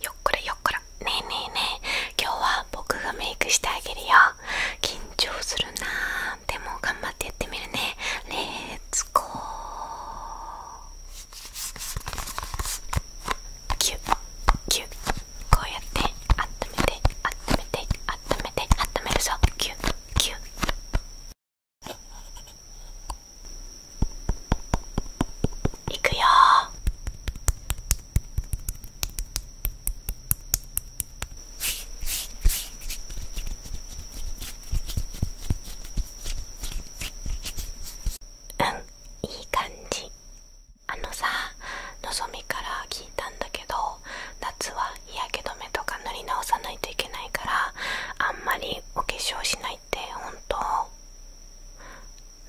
よっこらよっこらねえねえねえ今日は僕がメイクしてあげるよ緊張するなでも頑張ってやってみるねレッツゴーキュッキュッこうやって温めて温めて温めて温めるぞキュッキュッいくようんいい感じあのさのぞみから聞いたんだけど夏は日焼け止めとか塗り直さないといけないからあんまりお化粧しない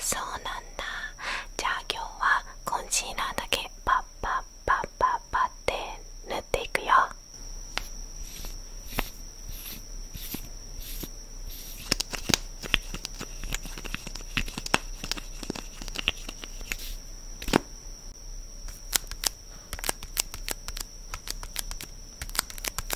そうなんだじゃあ今日はコンシーラーだけパッパッパッパッパッて塗っていくよ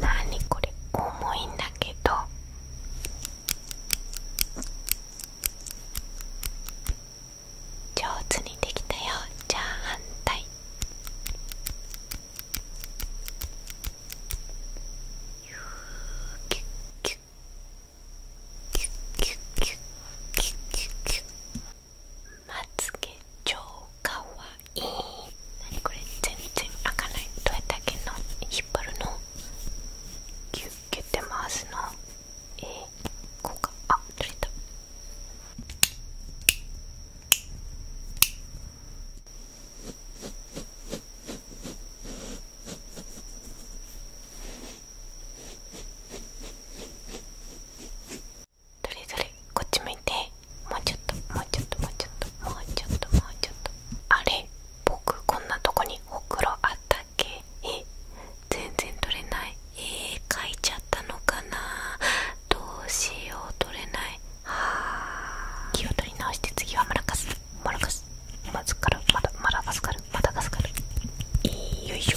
なにこれ重いんだけど上手にできたよじゃあ反対キュッキュッキュッキュッキュッキュッキュまつげ超かわいい何これ全然開かないどうやったっけな。引っ張るのぎゅっギュッて回すのえー、こうかあ取れたどれどれこっち向いてもうちょっともうちょっともうちょっともうちょっともうちょっとあれ僕こんなとこにお風呂あったっけえ全然取れないえー、書いちゃったのかなどうしよう取れないはあ気を取り直して次はマラカスマラカスマズカルまだマラガスカルマダガスカルよいしょ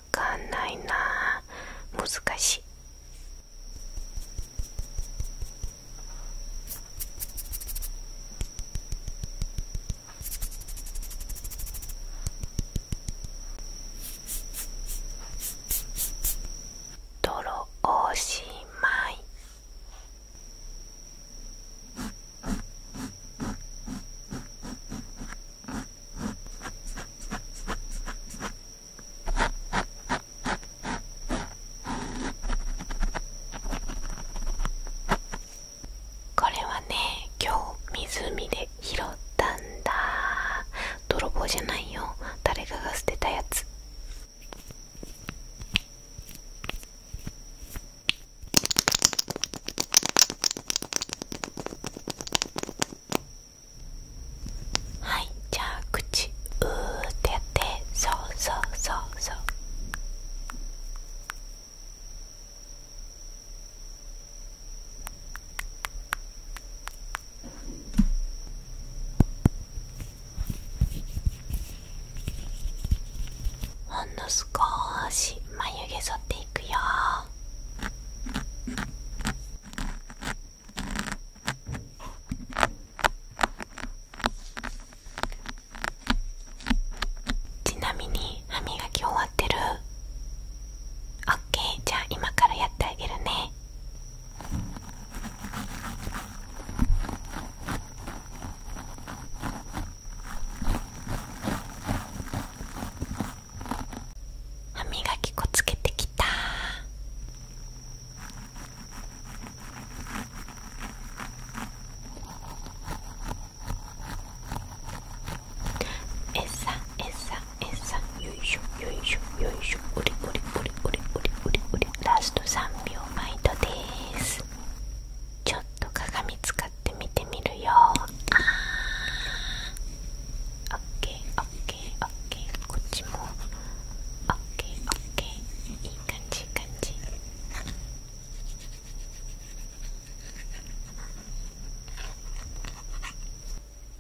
わかんないな難しい泥おしまいこれはね今日湖で拾ったんだ泥棒じゃないよ誰かが捨てたやつはいじゃあ口うててそうそうそうそうほんの少し眉毛剃っていくよちなみに歯磨き終わってるオッケーじゃあ今からやってあげるね歯磨き粉つけてきたえさえさえさよいしょよいしょよいしょおりおりおりおりおりおりおりラスト3秒毎度ですちょっと鏡使使ってみてみるよあーケー、オッケー、こっちもオッケー、オッケー。いい感じいい感じ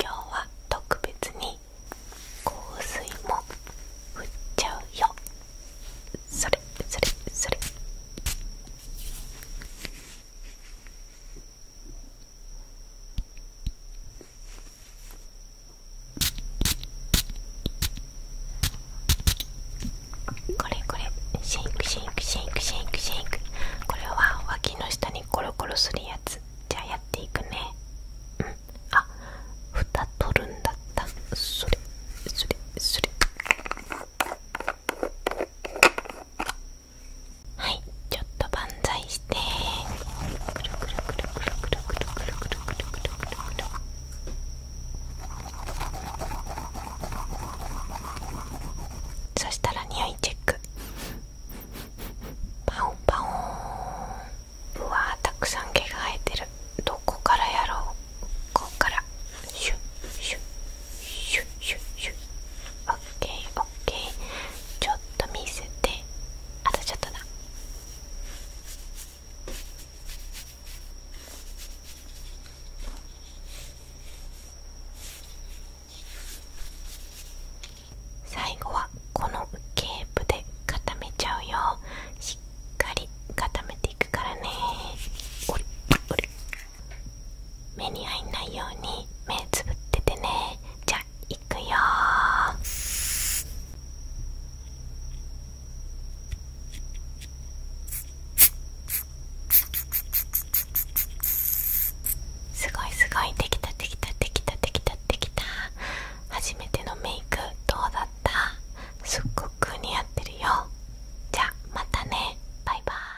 今日は特別に香水も振っちゃうよそれそれそれこれこれシンクシンクシンクシンクシンクこれは脇の下にコロコロするやつじゃあやっていくねうんあ蓋取るんだったそれそれそれはいちょっと万歳してくるくるくるくるくるくるくるくるくるくるくるくるそしたら匂いチェックパオパオうわたくさん毛が生えてるどこからやろうこっからシュッシュッシュッオッケーオッケーちょっと見せてあとちょっとだ最後はこのケープで固めちゃうよしっかり固めていくからねおりおり目に入んないように目つぶっててねじゃあいくよすごいすごいできたできたできたできたできた初めてのメイクどうだったすっごく似合ってるよじゃあまたねバイバイ